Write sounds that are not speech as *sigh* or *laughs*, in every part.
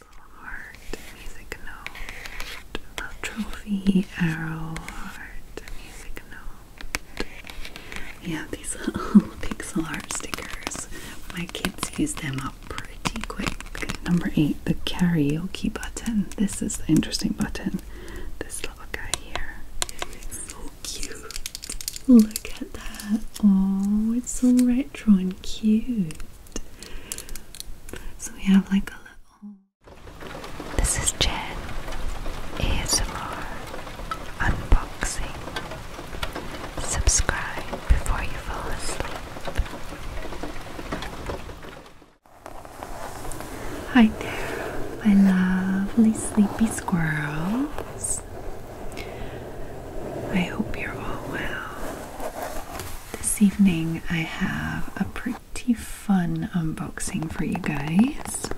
Little Heart music note. The trophy arrow heart music note. We these little *laughs* pixel art stickers. My kids use them up pretty quick. Number eight, the karaoke button. This is the interesting button. This little guy here. so cute. Look at that. Oh, it's so retro and cute. So we have like a little. This is Jen ASMR unboxing. Subscribe before you fall asleep. Hi there, my lovely sleepy squirrels. I hope you're all well. This evening I have a pretty fun unboxing for you guys.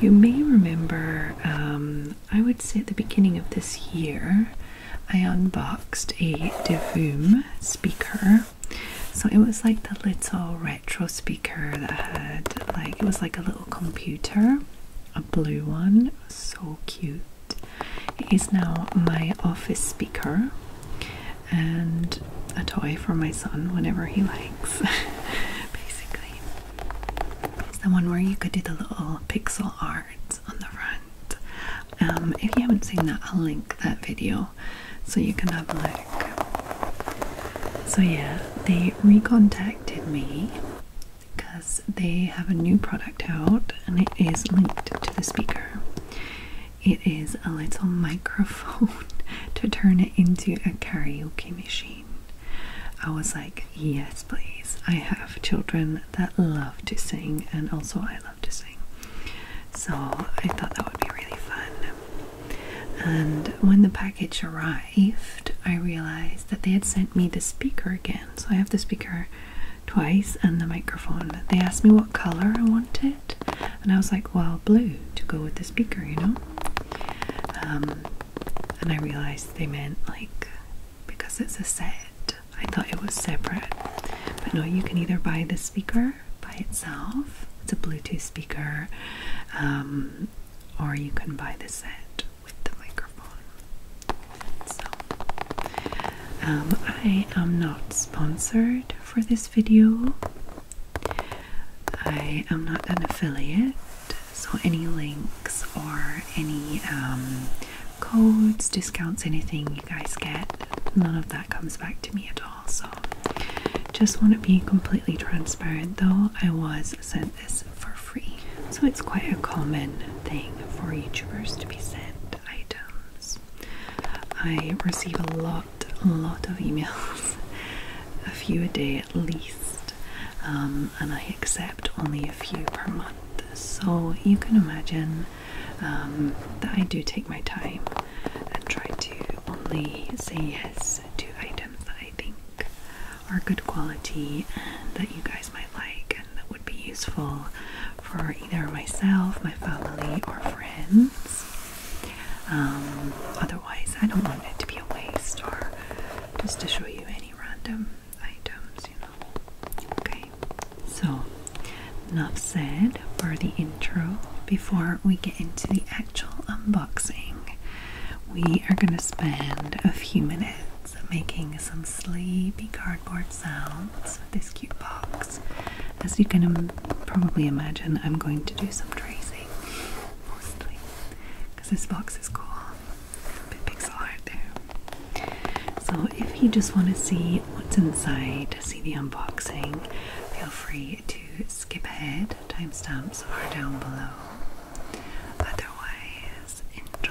You may remember, um, I would say at the beginning of this year, I unboxed a Devoom speaker. So it was like the little retro speaker that had, like, it was like a little computer, a blue one. So cute is now my office speaker and a toy for my son whenever he likes, *laughs* basically. It's the one where you could do the little pixel art on the front. Um, if you haven't seen that, I'll link that video so you can have a look. So, yeah, they recontacted me because they have a new product out and it is linked to the speaker. It is a little *laughs* microphone to turn it into a karaoke machine. I was like, yes, please. I have children that love to sing, and also I love to sing. So I thought that would be really fun. And when the package arrived, I realized that they had sent me the speaker again. So I have the speaker twice and the microphone. They asked me what color I wanted, and I was like, well, blue to go with the speaker, you know. Um, and I realized they meant like because it's a set, I thought it was separate, but no, you can either buy the speaker by itself, it's a Bluetooth speaker, um, or you can buy the set with the microphone. So, um, I am not sponsored for this video. I am not an affiliate, so any links or any um, codes, discounts, anything you guys get, none of that comes back to me at all. So, just want to be completely transparent though, I was sent this for free. So, it's quite a common thing for YouTubers to be sent items. I receive a lot, lot of emails, *laughs* a few a day at least, um, and I accept only a few per month. So you can imagine um, that I do take my time and try to only say yes to items that I think are good quality and that you guys might like and that would be useful for either myself, my family, or friends. Um, otherwise, I don't want it to be a waste or just to show you any random items, you know. Okay, so enough said for the intro. Before we get into the actual unboxing, we are going to spend a few minutes making some sleepy cardboard sounds with this cute box. As you can probably imagine, I'm going to do some tracing mostly because this box is cool. A bit pixel art there. So if you just want to see what's inside, see the unboxing, feel free to skip ahead. Timestamps are down below. Otherwise, guys enjoy.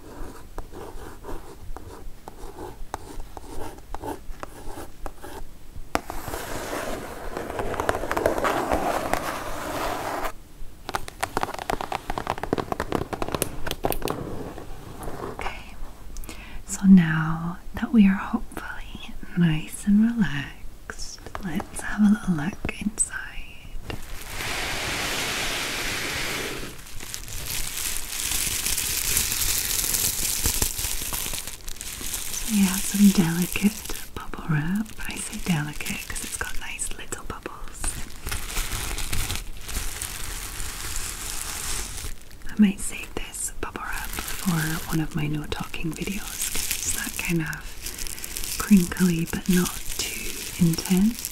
Okay, so now that we are hopefully nice and relaxed, let's have a little look inside. So you have some delicate bubble wrap. I say delicate because it's got nice little bubbles. I might save this bubble wrap for one of my no talking videos because it's that kind of crinkly but not too intense.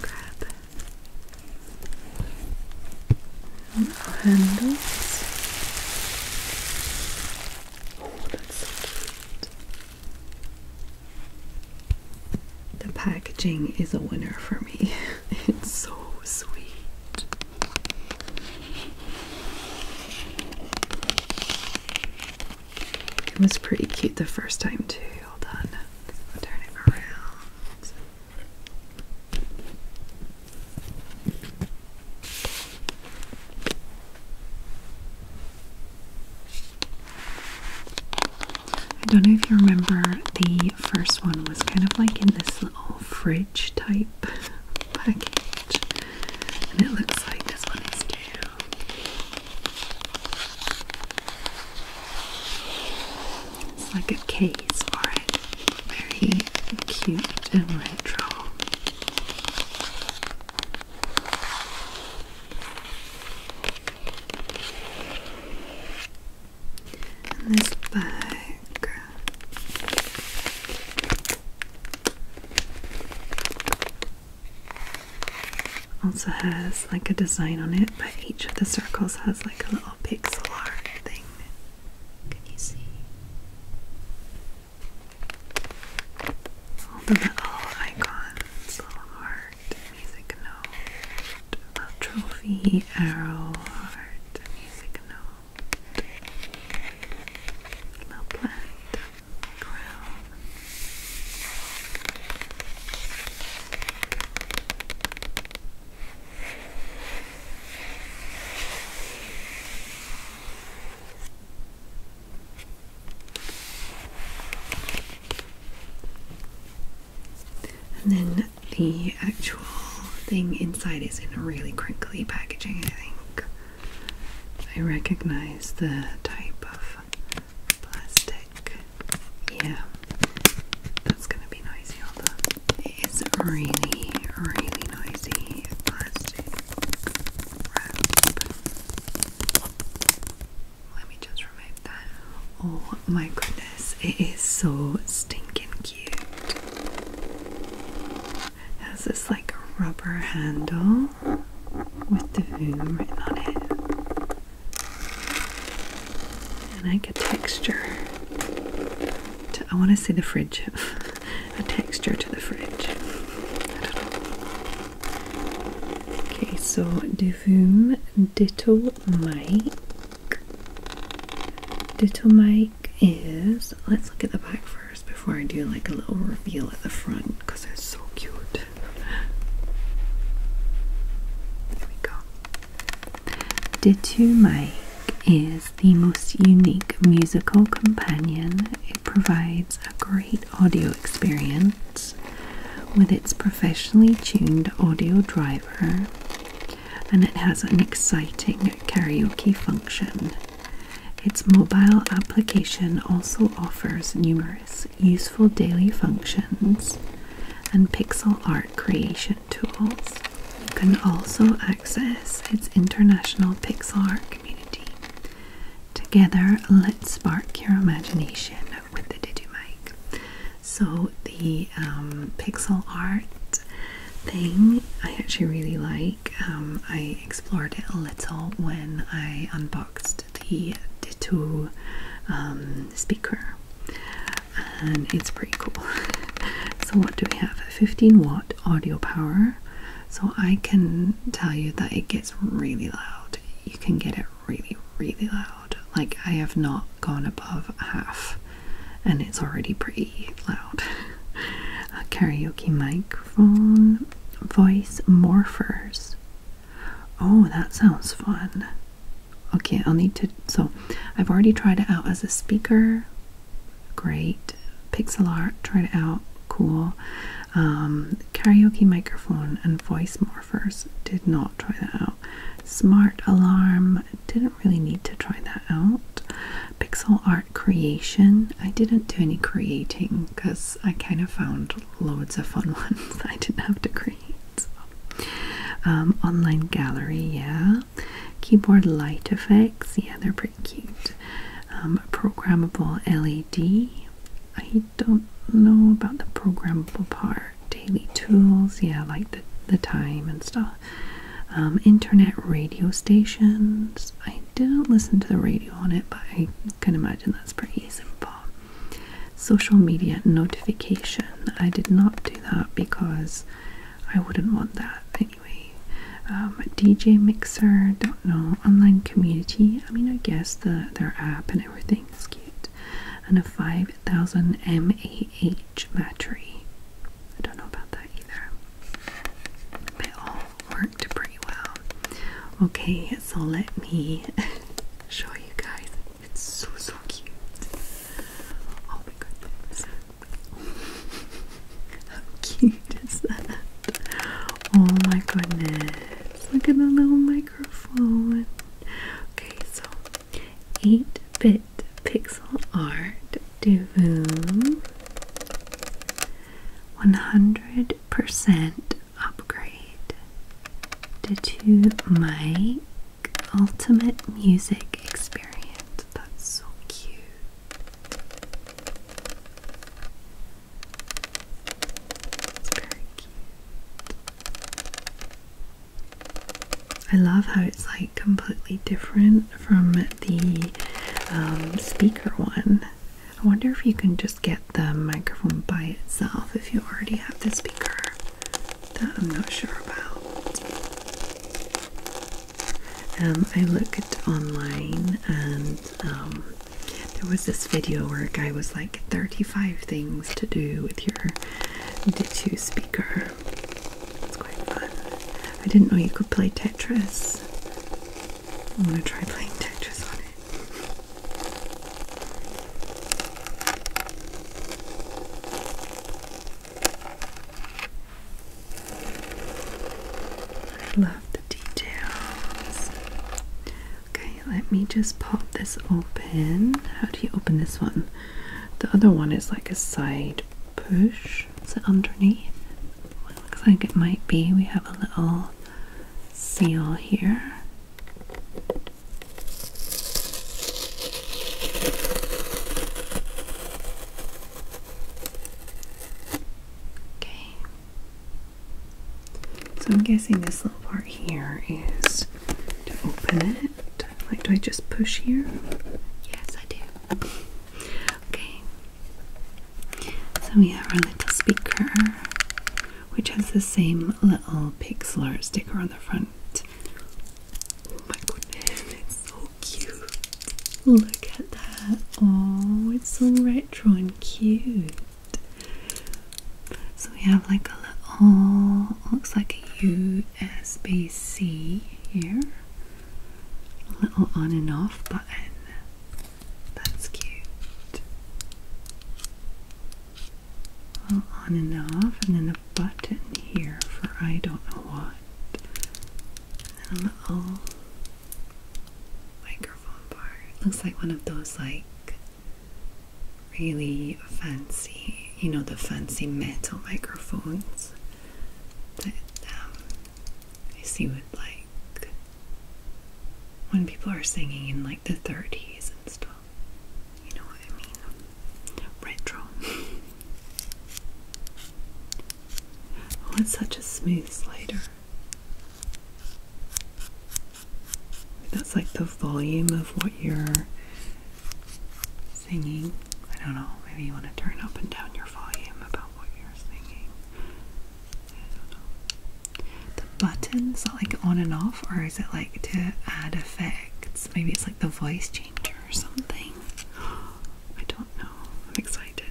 Grab our handles. Oh, that's so cute. The packaging is a winner for me. *laughs* It's so sweet. It was pretty cute the first time too. Hold on. turn it around. I don't know if you remember the first one was kind of like in this little fridge type *laughs* package. And it looks like this one is too. It's like a case for it. Very cute and retro. And this bag. Also has like a design on it, but each of the circles has like a little pixel art thing. Can you see? All the little little heart, music note, little trophy, arrow, heart, music note, little plant, and then the actual thing inside is in really crinkly packaging, I think. I recognize the type of plastic. Yeah, that's gonna be noisy, although it is really, really noisy plastic wrap. Let me just remove that. Oh my goodness, it is so stinking cute has this like a rubber handle with the voom written on it. And like a texture. I want to see the fridge. *laughs* a texture to the fridge. Okay, so the voom Ditto Mike. Ditto Mike is. Let's look at the back first before I do like a little reveal at the front because they're so cute. There we go. Ditto Mike is the most unique musical companion. It provides a great audio experience with its professionally tuned audio driver and it has an exciting karaoke function its mobile application also offers numerous useful daily functions and pixel art creation tools. You can also access its international pixel art community. Together, let's spark your imagination with the Digimic. So the um, pixel art thing I actually really like um, I explored it a little when I unboxed the Ditto um, speaker, and it's pretty cool. *laughs* so, what do we have? A 15 watt audio power. So, I can tell you that it gets really loud. You can get it really, really loud. Like, I have not gone above half, and it's already pretty loud. *laughs* A karaoke mic microphone voice morphers. Oh, that sounds fun. Okay, I'll need to. So, I've already tried it out as a speaker. Great. Pixel art, tried it out. Cool. Um, karaoke microphone and voice morphers. Did not try that out. Smart alarm. Didn't really need to try that out. Pixel art creation. I didn't do any creating because I kind of found loads of fun *laughs* ones I didn't have to create. So. Um, online gallery, yeah. Keyboard light effects, yeah, they're pretty cute. Um, programmable LED. I don't know about the programmable part. Daily tools, yeah, like the the time and stuff. Um, internet radio stations. I didn't listen to the radio on it, but I can imagine that's pretty simple. Social media notification. I did not do that because I wouldn't want that anyway. Um, DJ Mixer, don't know. Online community. I mean, I guess the their app and everything is cute. And a 5000 mAh battery. I don't know about that either. But all Okay, so let me *laughs* show you guys. It's so so cute. Oh my goodness. *laughs* How cute is that? Oh my goodness. Look at the little microphone. Okay, so 8-bit pixel art Divoom 100% upgrade to my ultimate music experience. That's so cute. It's very cute. I love how it's like completely different from the um, speaker one. I wonder if you can just get the microphone by itself if you already have the speaker that I'm not sure about. Um, I looked online and um, there was this video where a guy was like 35 things to do with your D2 speaker. It's quite fun. I didn't know you could play Tetris I'm gonna try playing Tetris on it. I love the details. Okay, let me just pop this open. How do you open this one? The other one is like a side push. So underneath, looks like it might be, we have a little seal here. Okay. So I'm guessing this little part here is to open it. Like, do I just push here? Yes, I do. Okay. So we have our little speaker, which has the same little pixel art sticker on the front. Oh my goodness, it's so cute! Look at that! Oh, it's so retro and cute. So we have like a little, looks like a USB C here, a little on and off button. That's cute. Well, on and off, and then a button here for I don't know what. And a little microphone bar. looks like one of those like really fancy, you know, the fancy metal microphones um, I see what like when people are singing in like the 30s and stuff. You know what I mean? Retro. *laughs* oh, it's such a smooth slider. That's like the volume of what you're singing. I don't know, maybe you want to turn up and down your volume about what you're singing. The buttons like on and off, or is it like to add effects? Maybe it's like the voice changer or something. I don't know. I'm excited.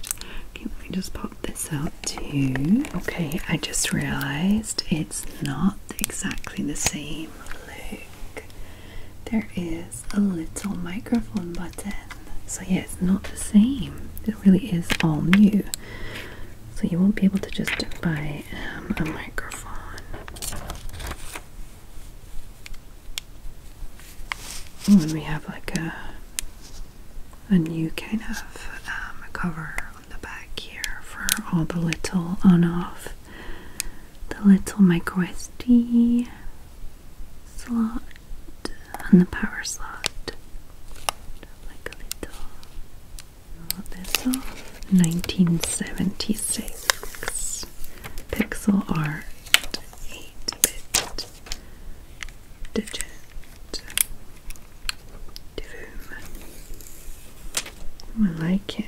Okay, let me just pop this out too. Okay, I just realized it's not exactly the same look. There is a little microphone button so yeah, it's not the same. It really is all new. So you won't be able to just buy um, a microphone. Ooh, and we have like a a new kind of um, cover on the back here for all the little on-off, the little micro SD slot and the power slot. Like a little. All 1976 pixel art 8-bit digit. Boom. I like it.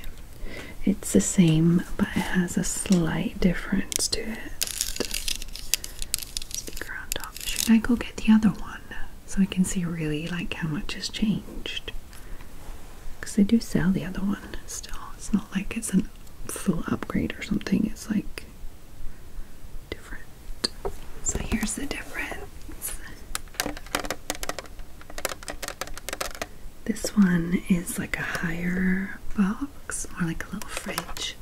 It's the same, but it has a slight difference to it. Speaker should I go get the other one so I can see really like how much has changed? Because they do sell the other one still. It's not like it's a full upgrade or something. It's like different. So here's the difference. This one is like a higher bulb Looks more like a little fridge.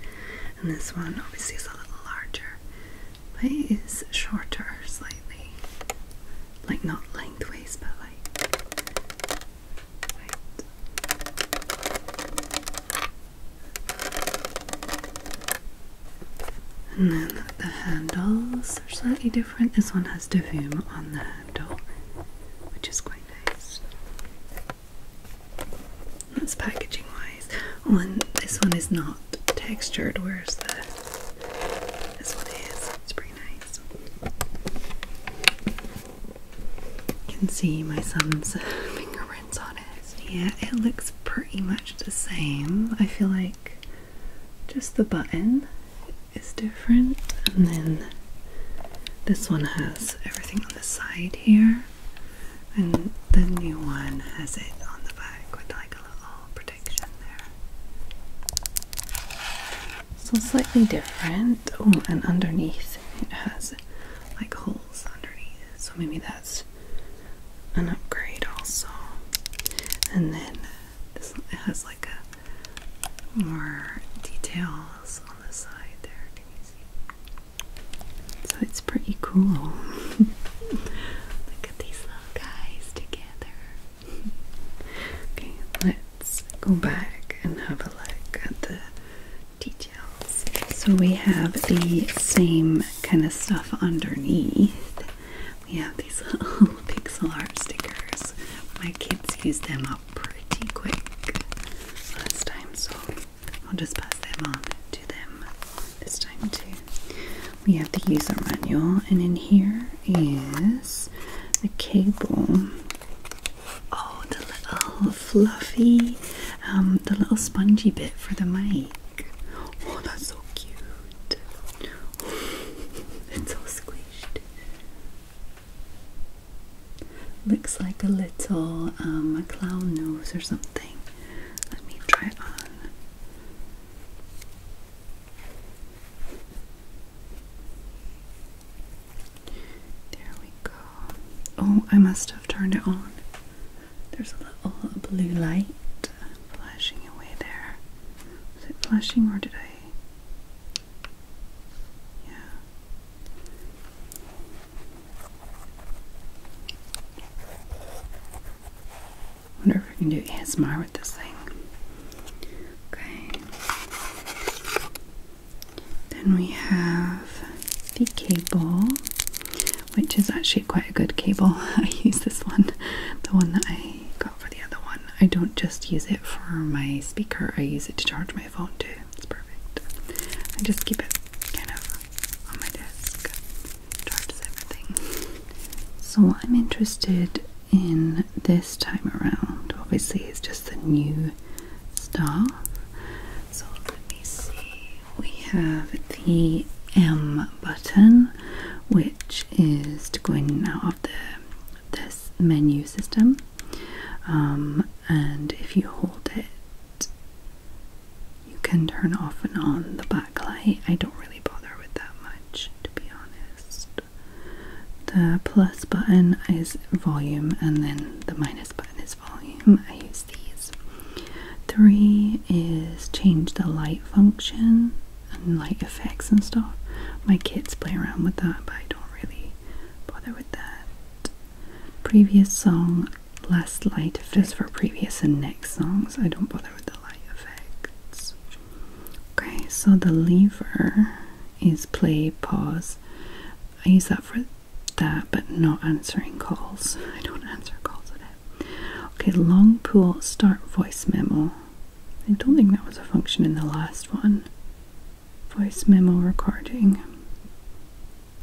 And this one obviously is a little larger, but it is shorter slightly. Like not lengthways, but like And then the handles are slightly different. This one has Davum on the handle, which is quite nice. That's packaging wise. Oh, this one is not textured, whereas the this one is. It's pretty nice. You can see my son's fingerprints on it. Yeah, it looks pretty much the same. I feel like just the button is different, and then this one has everything on the side here and the new one has it on the back with like a little protection there. So slightly different. Oh, and underneath it has like holes underneath, so maybe that's an upgrade also. And then this it has like more details on the side there. Can you see? So it's pretty cool. *laughs* Look at these little guys together. okay, let's go back and have a look at the details. So we have the same kind of stuff underneath. We have these *laughs* little pixel art stickers. My kids used them up pretty quick last time, so I'll just pass them on to them this time too. We have the user manual, and in here is the cable. Oh, the little fluffy, um, the little spongy bit for the mic. Oh, that's so cute. *laughs* it's all squished. Looks like a little um, a clown nose or something. Let me try it on. There we go. Oh, I must have turned it on. There's a little blue light flashing away there. Was it flashing or did I? Yeah. Wonder if I can do ASMR with this thing. Okay. Then we have the cable, which is actually quite a good cable. *laughs* I use this one, the one that I got for the other one. I don't just use it for my speaker, I use it to charge my phone too. It's perfect. I just keep it kind of on my desk, charges everything. *laughs* So, I'm interested in this time around, obviously, it's just the new stuff. So, let me see, we have the M button, which is to go in and out of the this menu system. Um, and if you hold it you can turn off and on the backlight. I don't really bother with that much, to be honest. The plus button is volume, and then the minus button is volume. I use these. Three is change the light function and light effects and stuff. My kids play around with that, but I don't really bother with that. Previous song Last light Just for previous and next songs. I don't bother with the light effects. Okay, so the lever is play, pause. I use that for that, but not answering calls. *laughs* I don't answer calls with it. Okay, long pull start voice memo. I don't think that was a function in the last one. Voice memo recording.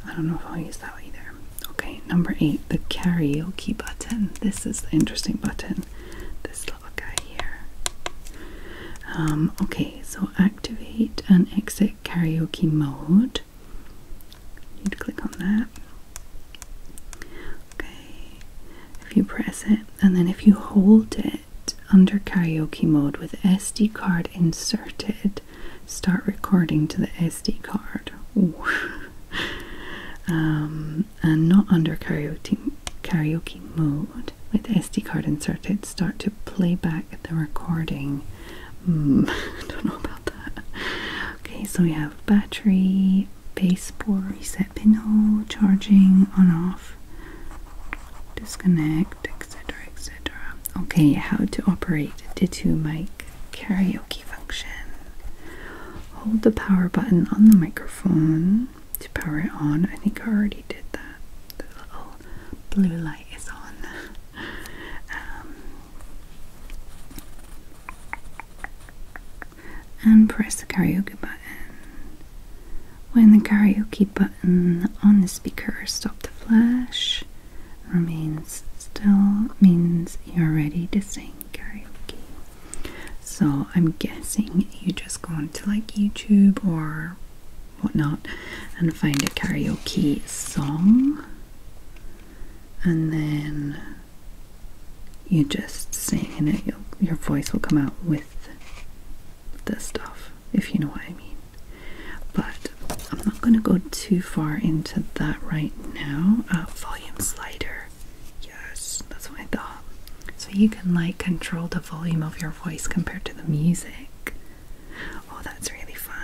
I don't know if I'll use that either. Okay, number eight, the karaoke button. This is the interesting button. This little guy here. Um, okay, so activate and exit karaoke mode. You'd click on that. Okay, if you press it, and then if you hold it under karaoke mode with SD card inserted, Start recording to the SD card. *laughs* Um, and not under karaoke, mode. With the SD card inserted, start to play back the recording. Hmm, *laughs* don't know about that. Okay, so we have battery, baseboard, reset pinhole, charging, on off, disconnect, etc etc okay how to operate the two mic karaoke function hold the power button on the microphone to power it on i think i already did that the little blue light is on *laughs* um, and press the karaoke button when the karaoke button on the speaker stops to flash remains still means you're ready to sing karaoke. So I'm guessing you just go onto like YouTube or whatnot and find a karaoke song and then you just sing and it, your voice will come out with the stuff if you know what I mean. But I'm not going to go too far into that right now. Uh, volume slider. Yes, that's what I thought. So you can like control the volume of your voice compared to the music. Oh, that's really fun.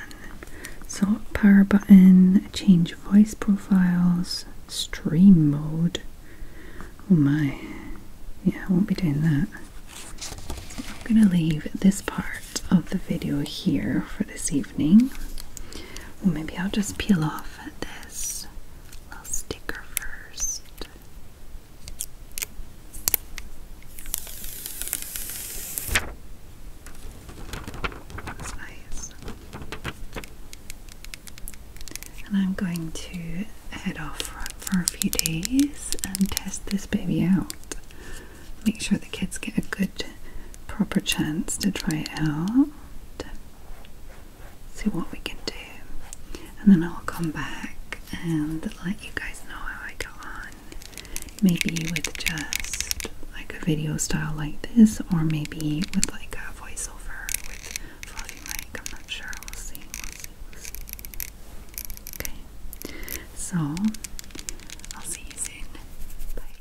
So, power button, change voice profiles, stream mode. Oh my. Yeah, I won't be doing that. I'm going to leave this part of the video here for this evening. Well, maybe I'll just peel off this little sticker first. And I'm going to head off for a few days and test this baby out make sure the kids get a good, proper chance to try it out. See what we can do, and then I'll come back and let you guys know how I go on. Maybe with just like a video style like this, or maybe with like a voiceover with fluffy mic. I'm not sure. we We'll see. Okay, so I'll see you soon. Bye.